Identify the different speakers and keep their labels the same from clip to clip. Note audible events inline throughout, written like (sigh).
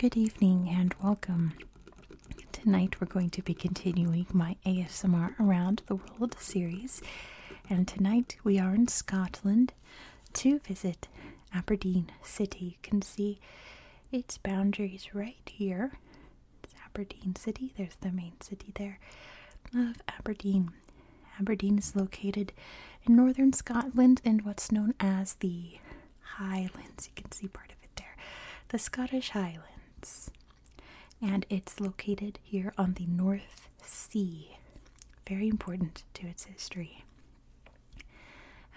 Speaker 1: Good evening and welcome. Tonight we're going to be continuing my ASMR Around the World series, and tonight we are in Scotland to visit Aberdeen City. You can see its boundaries right here. It's Aberdeen City. There's the main city there of Aberdeen. Aberdeen is located in northern Scotland in what's known as the Highlands. You can see part of it there. The Scottish Highlands and it's located here on the North Sea. Very important to its history.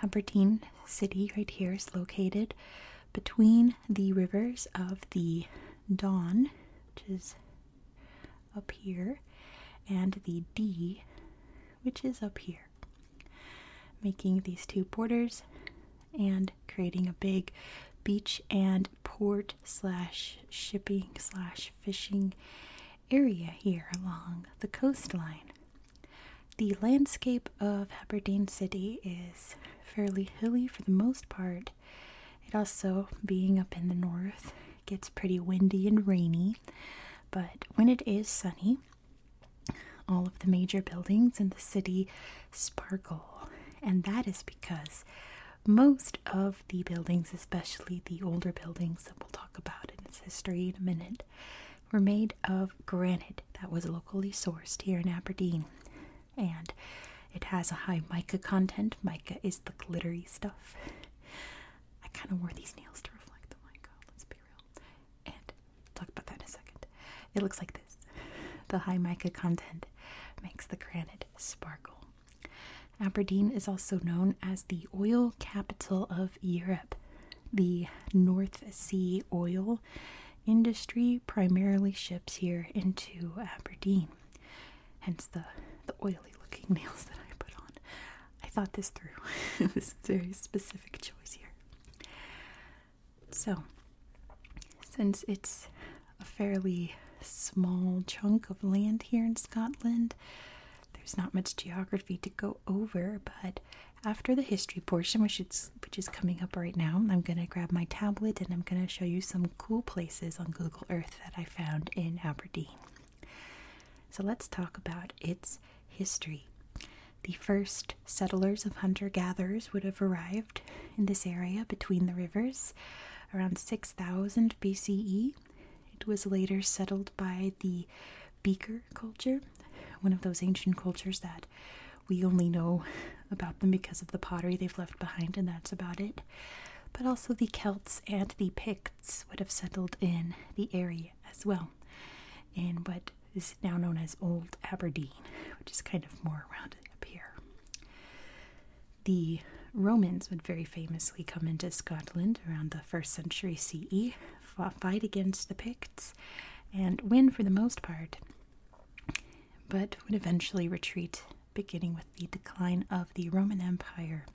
Speaker 1: Aberdeen City, right here, is located between the rivers of the Don, which is up here, and the Dee, which is up here, making these two borders and creating a big beach and port slash shipping slash fishing area here along the coastline. The landscape of Aberdeen City is fairly hilly for the most part. It also, being up in the north, gets pretty windy and rainy, but when it is sunny, all of the major buildings in the city sparkle, and that is because most of the buildings, especially the older buildings that we'll talk about in its history in a minute, were made of granite that was locally sourced here in Aberdeen. And it has a high mica content. Mica is the glittery stuff. I kind of wore these nails to reflect the mica, let's be real. And talk about that in a second. It looks like this the high mica content makes the granite sparkle Aberdeen is also known as the oil capital of Europe. The North Sea oil industry primarily ships here into Aberdeen, hence the, the oily looking (laughs) nails that I put on. I thought this through. (laughs) this is very specific choice here. So, since it's a fairly small chunk of land here in Scotland. There's not much geography to go over, but after the history portion, which is which is coming up right now, I'm gonna grab my tablet and I'm gonna show you some cool places on Google Earth that I found in Aberdeen. So let's talk about its history. The first settlers of hunter gatherers would have arrived in this area between the rivers around 6000 BCE. It was later settled by the Beaker culture, one of those ancient cultures that we only know about them because of the pottery they've left behind, and that's about it. But also the Celts and the Picts would have settled in the area as well, in what is now known as Old Aberdeen, which is kind of more around up here the Romans would very famously come into Scotland around the first century CE, fight against the Picts, and win for the most part, but would eventually retreat, beginning with the decline of the Roman Empire.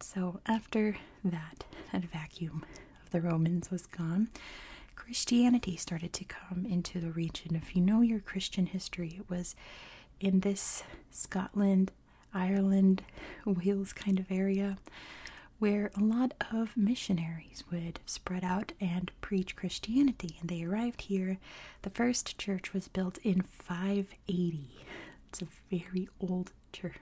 Speaker 1: So, after that, that vacuum of the Romans was gone, Christianity started to come into the region. If you know your Christian history, it was in this Scotland, Ireland, (laughs) Wales kind of area where a lot of missionaries would spread out and preach Christianity. And they arrived here. The first church was built in 580. It's a very old church.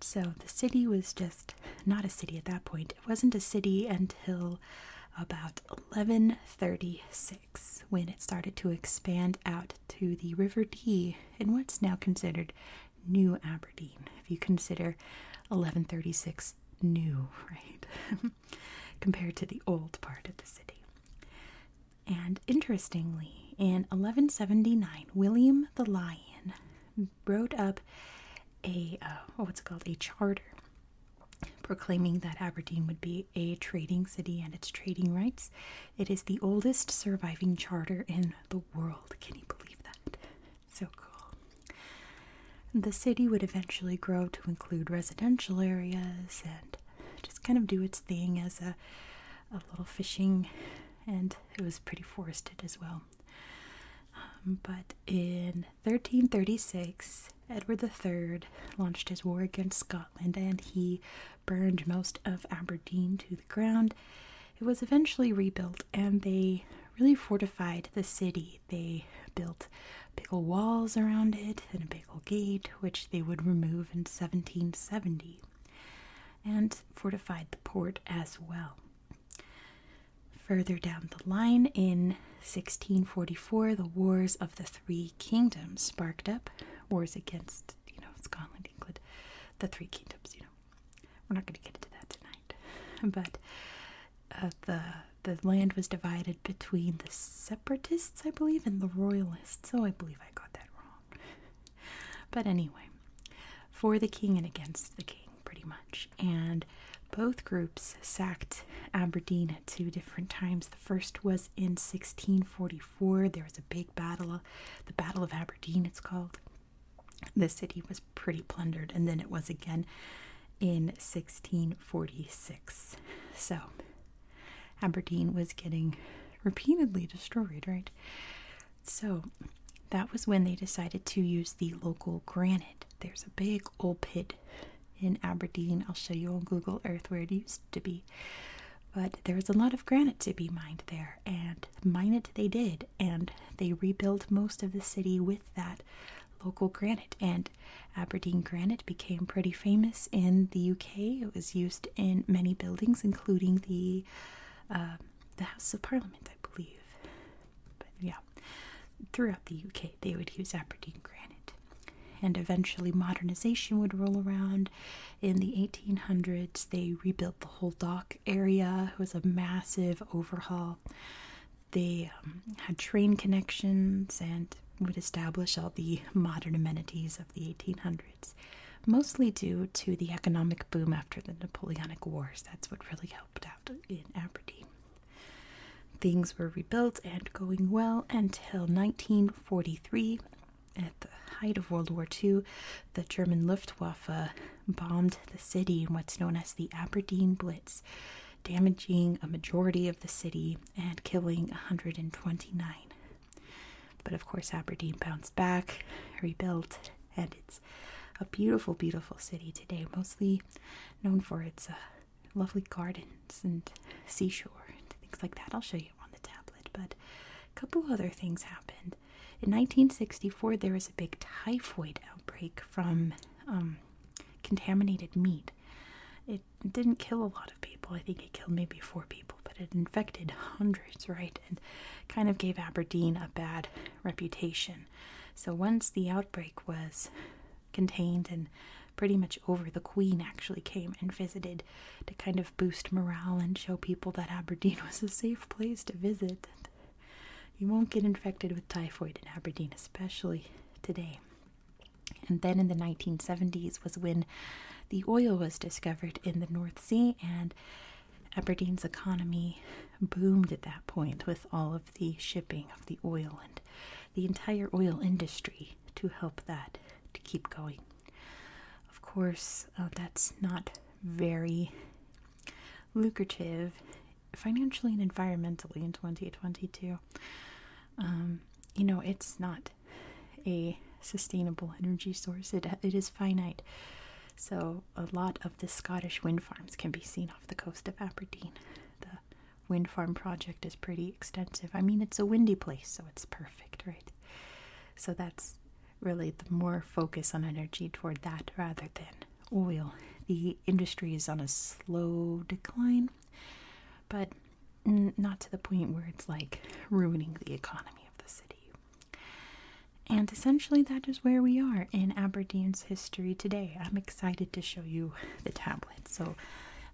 Speaker 1: So the city was just not a city at that point. It wasn't a city until about 1136 when it started to expand out to the River Dee in what's now considered New Aberdeen, if you consider 1136 new, (laughs) right? Compared to the old part of the city. And interestingly, in 1179, William the Lion wrote up a uh, what's it called a charter proclaiming that Aberdeen would be a trading city and its trading rights. It is the oldest surviving charter in the world. Can you believe that? So cool. The city would eventually grow to include residential areas and just kind of do its thing as a, a little fishing, and it was pretty forested as well. Um, but in 1336, Edward III launched his war against Scotland and he burned most of Aberdeen to the ground. It was eventually rebuilt and they really fortified the city. They built big old walls around it and a big old gate, which they would remove in 1770, and fortified the port as well. Further down the line, in 1644, the Wars of the Three Kingdoms sparked up wars against, you know, Scotland, England, the Three Kingdoms. You know, we're not going to get into that tonight, (laughs) but uh, the the land was divided between the separatists, I believe, and the royalists. So I believe I got that wrong. but anyway, for the king and against the king pretty much. And both groups sacked Aberdeen at two different times. The first was in 1644. There was a big battle, the Battle of Aberdeen, it's called. The city was pretty plundered, and then it was again in 1646. So Aberdeen was getting repeatedly destroyed, right? So that was when they decided to use the local granite there's a big old pit in Aberdeen. I'll show you on Google Earth where it used to be. But there was a lot of granite to be mined there, and mine it they did, and they rebuilt most of the city with that local granite. And Aberdeen granite became pretty famous in the UK. It was used in many buildings, including the uh, the House of Parliament, I believe. But yeah, Throughout the UK, they would use Aberdeen granite, and eventually modernization would roll around. In the 1800s, they rebuilt the whole dock area. It was a massive overhaul. They um, had train connections and would establish all the modern amenities of the 1800s, mostly due to the economic boom after the Napoleonic Wars. That's what really helped out in Aberdeen. Things were rebuilt and going well until 1943. At the height of World War II, the German Luftwaffe bombed the city in what's known as the Aberdeen Blitz, damaging a majority of the city and killing 129. But of course, Aberdeen bounced back, rebuilt, and it's a beautiful, beautiful city today, mostly known for its uh, lovely gardens and seashore and things like that. I'll show you on the tablet, but a couple other things happened. In 1964, there was a big typhoid outbreak from um, contaminated meat. It didn't kill a lot of people. I think it killed maybe four people, but it infected hundreds, right? And kind of gave Aberdeen a bad reputation so once the outbreak was contained and pretty much over, the Queen actually came and visited to kind of boost morale and show people that Aberdeen was a safe place to visit. You won't get infected with typhoid in Aberdeen, especially today. And then in the 1970s was when the oil was discovered in the North Sea, and Aberdeen's economy boomed at that point with all of the shipping of the oil and the entire oil industry to help that to keep going. Of course, uh, that's not very lucrative financially and environmentally in 2022. Um, you know, it's not a sustainable energy source. It it is finite. So, a lot of the Scottish wind farms can be seen off the coast of Aberdeen. The wind farm project is pretty extensive. I mean, it's a windy place, so it's perfect, right? So, that's really the more focus on energy toward that rather than oil. The industry is on a slow decline, but not to the point where it's like ruining the economy of the city. And essentially, that is where we are in Aberdeen's history today. I'm excited to show you the tablet, so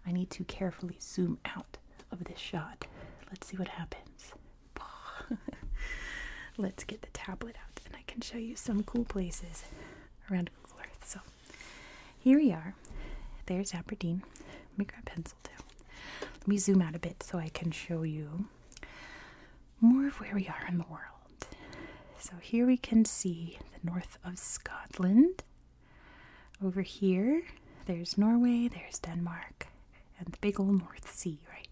Speaker 1: I need to carefully zoom out of this shot. Let's see what happens. (laughs) Let's get the tablet out, and I can show you some cool places around Google Earth. So, here we are. There's Aberdeen. Let me grab pencil too. Let me zoom out a bit so I can show you more of where we are in the world. So here we can see the north of Scotland. Over here, there's Norway, there's Denmark, and the big old North Sea, right?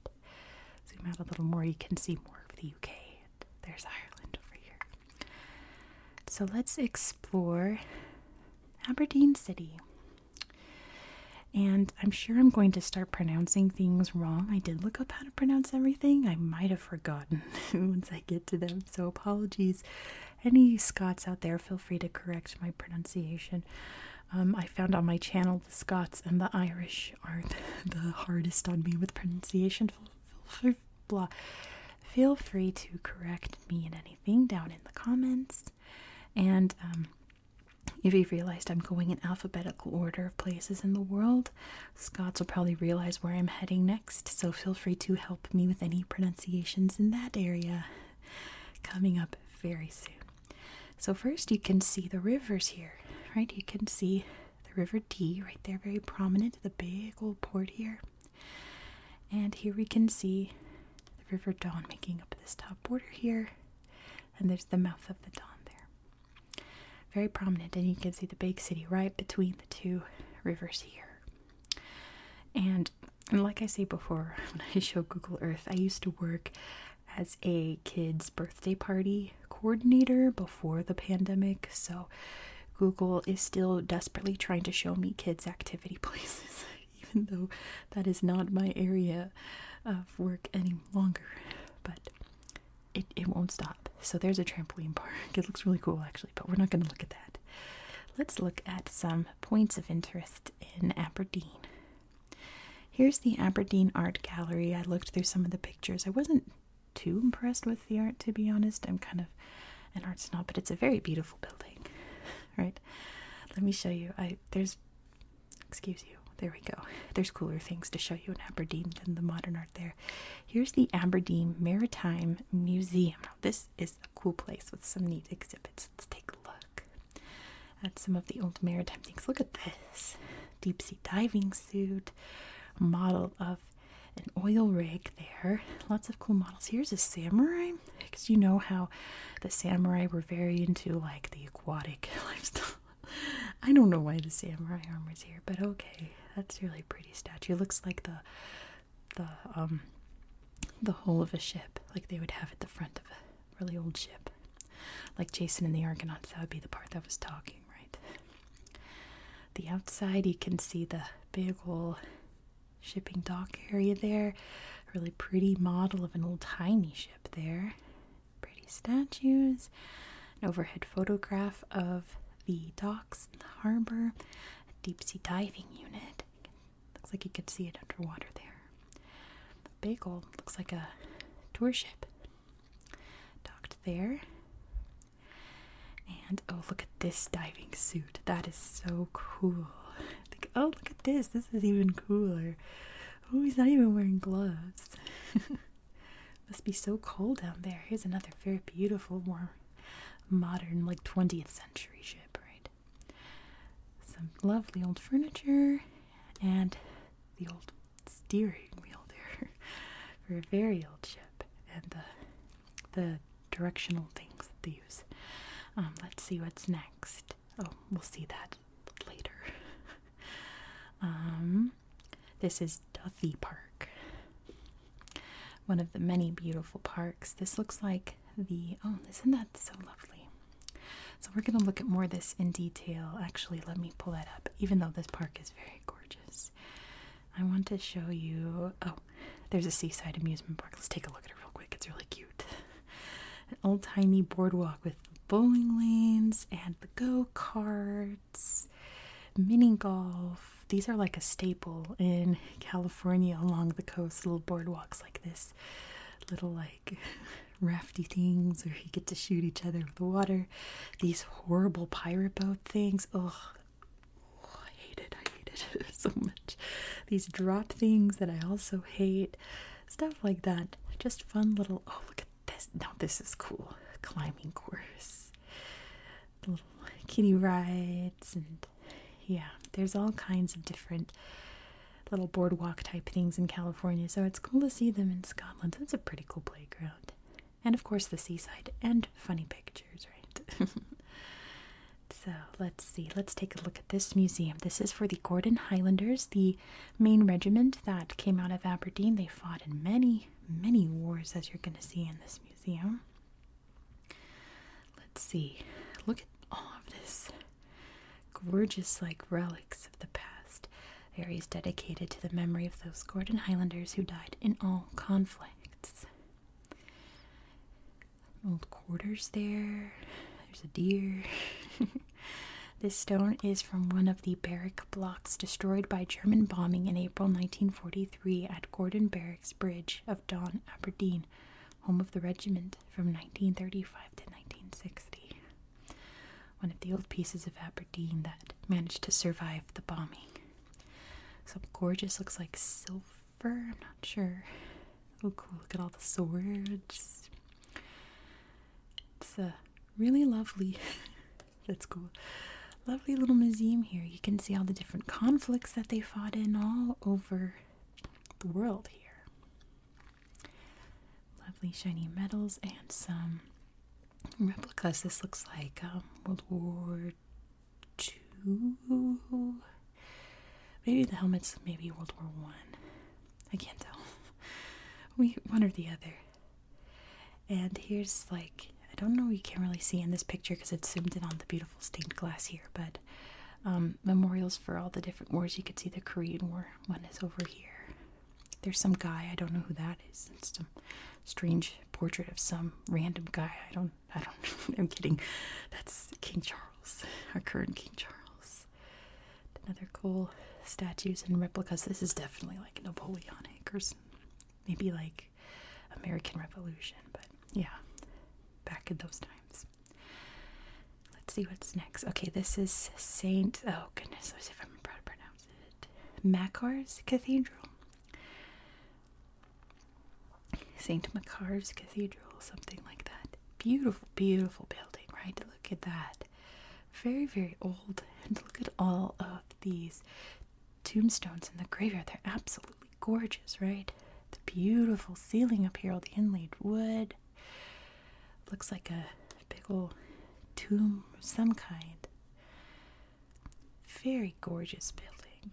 Speaker 1: Zoom out a little more, you can see more of the UK. There's Ireland over here. So let's explore Aberdeen City. And I'm sure I'm going to start pronouncing things wrong. I did look up how to pronounce everything. I might have forgotten (laughs) once I get to them, so apologies. Any Scots out there, feel free to correct my pronunciation. Um, I found on my channel the Scots and the Irish are (laughs) the, hardest on me with pronunciation. Feel, free to correct me in anything down in the comments. And um, if you've realized I'm going in alphabetical order of places in the world, Scots will probably realize where I'm heading next, so feel free to help me with any pronunciations in that area coming up very soon. So, first, you can see the rivers here, right? You can see the River Dee right there, very prominent, the big old port here. And here we can see the River Don making up this top border here, and there's the mouth of the Don there. Very prominent, and you can see the big city right between the two rivers here. And, like I said before, (laughs) when I show Google Earth, I used to work as a kid's birthday party coordinator before the pandemic, so Google is still desperately trying to show me kids' activity (laughs) places, even though that is not my area of work any longer. But it, it won't stop. So there's a trampoline park. It looks really cool actually, but we're not going to look at that. Let's look at some points of interest in Aberdeen. Here's the Aberdeen Art Gallery. I looked through some of the pictures. I wasn't too impressed with the art, to be honest. I'm kind of an arts snob, but it's a very beautiful building, (laughs) right? Let me show you. I there's Excuse you. There we go. (laughs) There's cooler things to show you in Aberdeen than the modern art there. Here's the Aberdeen Maritime Museum. this is a cool place with some neat exhibits. Let's take a look at some of the old maritime things. Look at this deep sea diving suit, model of an oil rig there. Lots of cool models. Here's a samurai because you know how the samurai were very into like the aquatic (laughs) lifestyle. I don't know why the samurai armor is here, but okay, that's really pretty statue. Looks like the the um the hull of a ship, like they would have at the front of a really old ship, like Jason and the Argonauts. That would be the part that was talking, right? The outside, you can see the big old shipping dock area there. really pretty model of an old tiny ship there pretty statues, an overhead photograph of the docks and the harbor, a deep sea diving unit. Looks like you could see it underwater there. The bagel looks like a tour ship docked there. And oh, look at this diving suit. That is so cool. oh, look at this. This is even cooler. Oh, he's not even wearing gloves. (laughs) Must be so cold down there. Here's another very beautiful, more modern, like 20th century ship, right? Some lovely old furniture and the old steering wheel there (laughs) for a very old ship and the, the directional things that they use. Um, let's see what's next. Oh, we'll see that later. (laughs) um, this is Duffy Park, one of the many beautiful parks. This looks like the oh, isn't that so lovely? So we're gonna look at more of this in detail. Actually, let me pull that up. Even though this park is very gorgeous, I want to show you. Oh, there's a seaside amusement park. Let's take a look at it real quick. It's really cute an old timey boardwalk with bowling lanes and the go karts, mini golf. These are like a staple in California along the coast, little boardwalks like this, little like (laughs) rafty things where you get to shoot each other with the water. These horrible pirate boat things. Ugh. I hate it. I hate it (laughs) so much. These drop things that I also hate. Stuff like that. Just fun little. Oh, look at this this is cool climbing course little kiddie rides and yeah there's all kinds of different little boardwalk type things in california so it's cool to see them in scotland that's a pretty cool playground and of course the seaside and funny pictures right (laughs) so let's see let's take a look at this museum this is for the gordon highlanders the main regiment that came out of Aberdeen. They fought in many, many wars, as you're going to see in this museum. Let's see. Look at all of this gorgeous, like relics of the past. The dedicated to the memory of those Gordon Highlanders who died in all conflicts. Old quarters there. There's a deer. (laughs) (laughs) this stone is from one of the barrack blocks destroyed by German bombing in April 1943 at Gordon Barracks Bridge of Don, Aberdeen, home of the regiment from 1935 to 1960. One of the old pieces of Aberdeen that managed to survive the bombing. Some gorgeous looks like silver, I'm not sure. Oh, cool, look at all the swords. It's a really lovely. (laughs) That's cool. Lovely little museum here. You can see all the different conflicts that they fought in all over the world here. Lovely shiny medals and some replicas. This looks like um, World War II. Maybe the helmets, maybe World War One. I. I can't tell we one or the other. And here's like I don't know you can't really see in this picture because it's zoomed in on the beautiful stained glass here, but um, memorials for all the different wars. You could see the Korean War one is over here. There's some guy I don't know who that is. It's some strange portrait of some random guy. I don't. I don't. (laughs) I'm kidding. That's King Charles, our current King Charles. Another cool statues and replicas. This is definitely like Napoleonic or maybe like American Revolution, but yeah, back in those times. Let's see what's next. Okay, this is Saint. Oh goodness, let's see if I'm proud to pronounce it. Macar's Cathedral. Saint Macar's Cathedral, something like that. Beautiful, beautiful building, right? Look at that very, very old. And look at all of these tombstones in the graveyard. They're absolutely gorgeous, right? The beautiful ceiling up here, all the inlaid wood. Looks like a big old tomb of some kind. Very gorgeous building.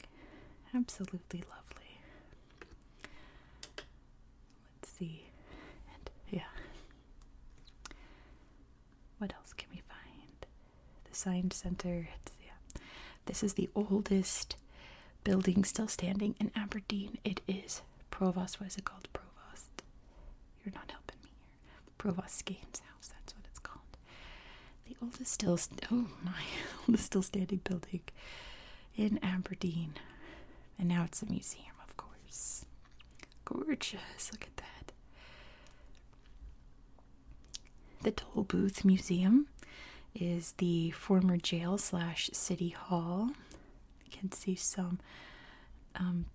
Speaker 1: Absolutely lovely let's see. yeah. What else can we find? The Science Center. yeah. This is the oldest building still standing in Aberdeen. It is Provost. What is it called? Provost. You're not helping me here. Provost Skane's house. That's what it's called. The oldest still. oh my! (laughs) oldest still standing building in Aberdeen. And now it's a museum, of course. Gorgeous, look at that. The Toll Museum is the former jail slash city hall. You can see some um,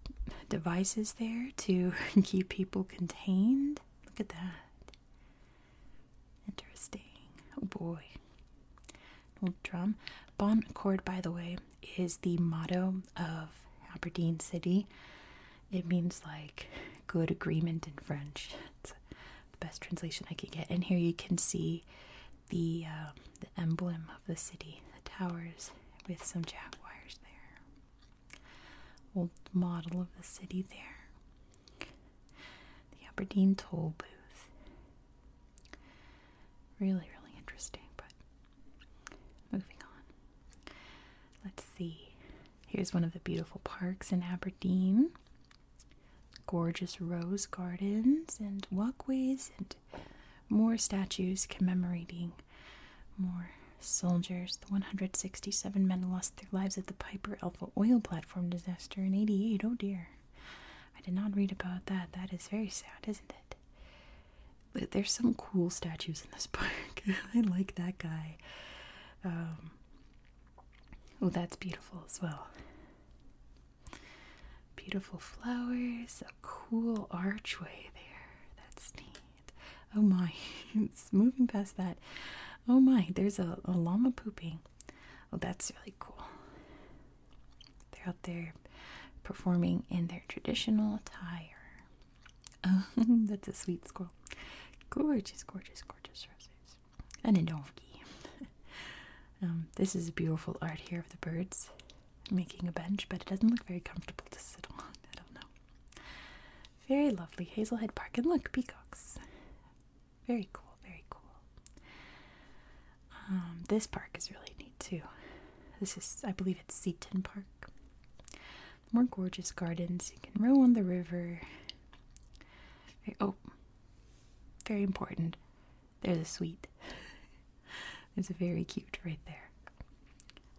Speaker 1: devices there to (laughs) keep people contained. Look at that. Interesting. Oh boy old drum. Bon Accord, by the way, is the motto of Aberdeen City. It means like good agreement in French. It's the best translation I can get. And here you can see the uh, the emblem of the city, the towers with some jaguars there. Old model of the city there. The Aberdeen toll booth. Really, really interesting, but moving on. Let's see. Here's one of the beautiful parks in Aberdeen. Gorgeous rose gardens and walkways, and more statues commemorating more soldiers. The 167 men lost their lives at the Piper Alpha oil platform disaster in 88. Oh dear. I did not read about that. That is very sad, isn't it? there's some cool statues in this park. (laughs) (laughs) I like that guy. Um, oh, that's beautiful as well. Beautiful flowers, a cool archway there. That's neat. Oh my, (laughs) it's moving past that. Oh my, there's a, a llama pooping. Oh, that's really cool. They're out there performing in their traditional attire. Oh, (laughs) that's a sweet squirrel. Gorgeous, gorgeous, gorgeous roses. And a donkey. (laughs) Um, this is beautiful art here of the birds making a bench, but it doesn't look very comfortable to sit on. I don't know. Very lovely. Hazelhead Park. And look, peacocks. Very cool, very cool. Um, this park is really neat too. This is, I believe, it's Seaton Park. More gorgeous gardens. You can row on the river. oh, very important. There's a suite. (laughs) There's a very cute right there.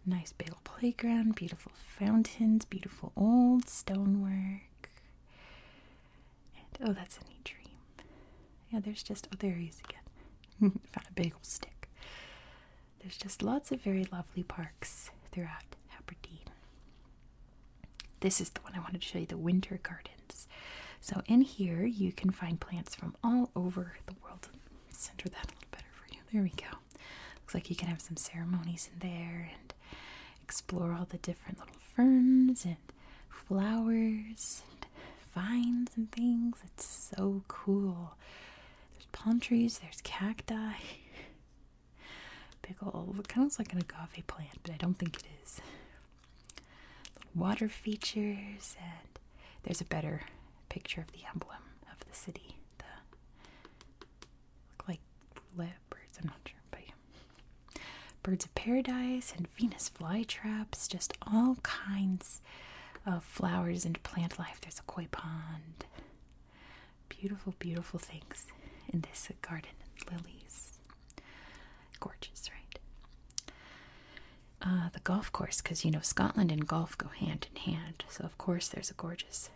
Speaker 1: Nice big playground. Beautiful fountains. Beautiful old stonework. And oh, that's a neat dream. Yeah, there's just oh, there he is again. (laughs) Found a bagel stick. There's just lots of very lovely parks throughout Aberdeen. This is the one I wanted to show you the winter gardens. So, in here, you can find plants from all over the world. Center that a little better for you. There we go. Looks like you can have some ceremonies in there and explore all the different little ferns flowers vines and things. It's so cool. There's palm trees, there's cacti. Pickle. (laughs) it kind of looks like an agave plant, but I don't think it is. water features, and there's a better picture of the emblem of the city. The look like leopards, I'm not sure, but Birds of Paradise and Venus flytraps, just all kinds of flowers and plant life. There's a koi pond. Beautiful, beautiful things in this garden. Lilies. Gorgeous, right? Uh, the golf course, because you know Scotland and golf go hand in hand. So, of course, there's a gorgeous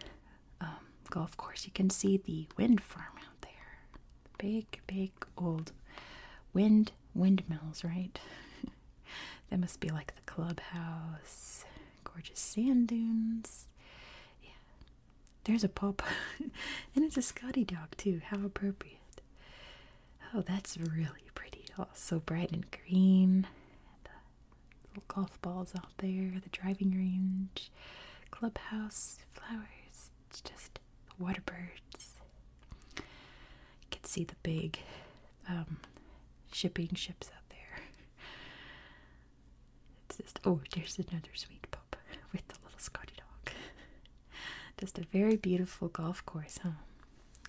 Speaker 1: um, golf course. You can see the wind farm out there. Big, big old wind windmills, right? (laughs) that must be like the clubhouse. Gorgeous sand dunes. Yeah. There's a pop. (laughs) and it's a Scotty dog too. How appropriate. Oh, that's really pretty. Oh, so bright and green. The golf balls out there, the driving range, clubhouse, flowers. It's just water birds. You can see the big um, shipping ships out there. It's just oh, there's another sweet pup with the little Scotty dog. (laughs) just a very beautiful golf course, huh?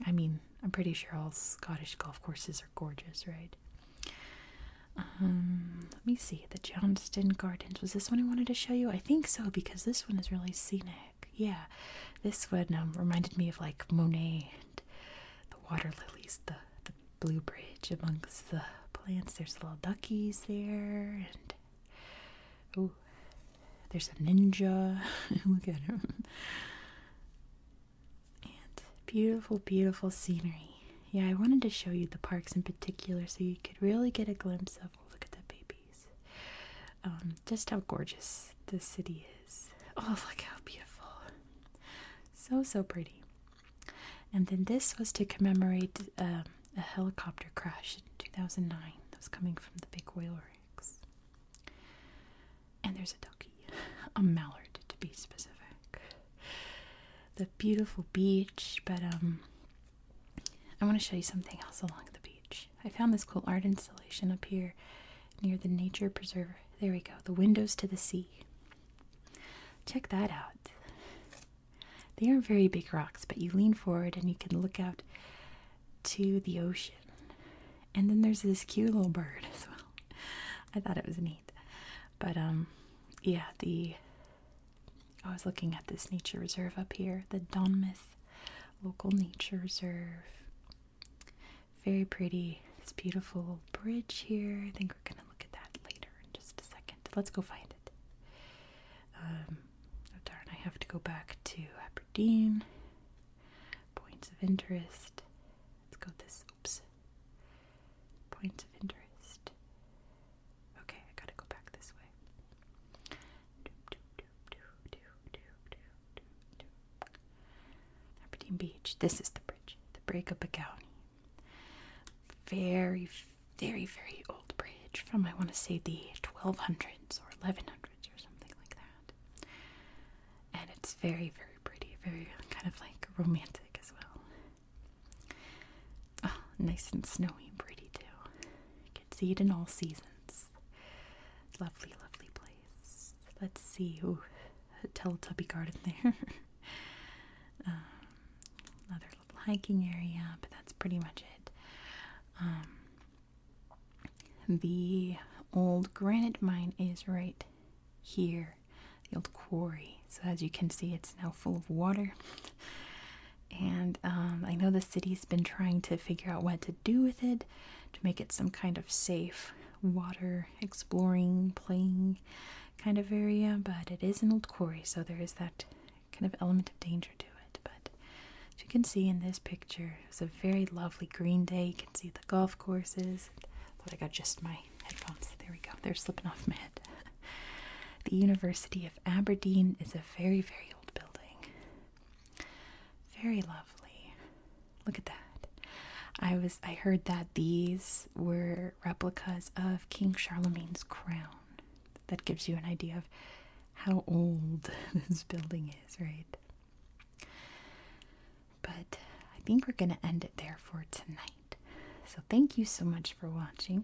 Speaker 1: I mean, I'm pretty sure all Scottish golf courses are gorgeous, right? Um, let me see the Johnston Garden. Was this one I wanted to show you? I think so because this one is really scenic. Yeah, this one um, reminded me of like Monet and the water lilies, the, the blue bridge amongst the plants. There's little duckies there, and oh, there's a ninja. (laughs) Look at him. And beautiful, beautiful scenery. Yeah, I wanted to show you the parks in particular so you could really get a glimpse of. Oh, look at that baby. Um, just how gorgeous the city is. Oh, look how beautiful! So, so pretty. And then this was to commemorate um, a helicopter crash in 2009 that was coming from the big oil rigs. And there's a duckie, a mallard to be specific. The beautiful beach, but um, I want to show you something else along the beach. I found this cool art installation up here near the nature preserve. There we go, the windows to the sea. Check that out. They are very big rocks, but you lean forward and you can look out to the ocean. And then there's this cute little bird as well. (laughs) I thought it was neat. But um yeah, the I was looking at this nature reserve up here, the Donmouth Local Nature Reserve. Very pretty. This beautiful bridge here. I think we're gonna look at that later in just a second. Let's go find it. Um, oh darn, I have to go back to Aberdeen. Points of interest. Let's go to this. Oops. Points of interest. Okay, I gotta go back this way. Aberdeen Beach. This is the bridge, the Break of Bregabagowney. Very, very, very old bridge from I want to say the 1200s or 1100s or something like that. And it's very, very pretty, very kind of like romantic as well. Oh, nice and snowy and pretty too. You can see it in all seasons. Lovely, lovely place. Let's see. Ooh, a Teletubby garden there. (laughs) Um, another little hiking area, but that's pretty much it. Um, the old granite mine is right here, the old quarry. So, as you can see, it's now full of water and um, I know the city's been trying to figure out what to do with it to make it some kind of safe water exploring, playing kind of area, but it is an old quarry, so there is that kind of element of danger to it. But as you can see in this picture, it's a very lovely green day. You can see the golf courses. But I got just my headphones. There we go. They're slipping off my head. (laughs) the University of Aberdeen is a very, very old building. Very lovely. Look at that. I was I heard that these were replicas of King Charlemagne's crown. That gives you an idea of how old (laughs) this building is, right? But I think we're going to end it there for tonight. So, thank you so much for watching.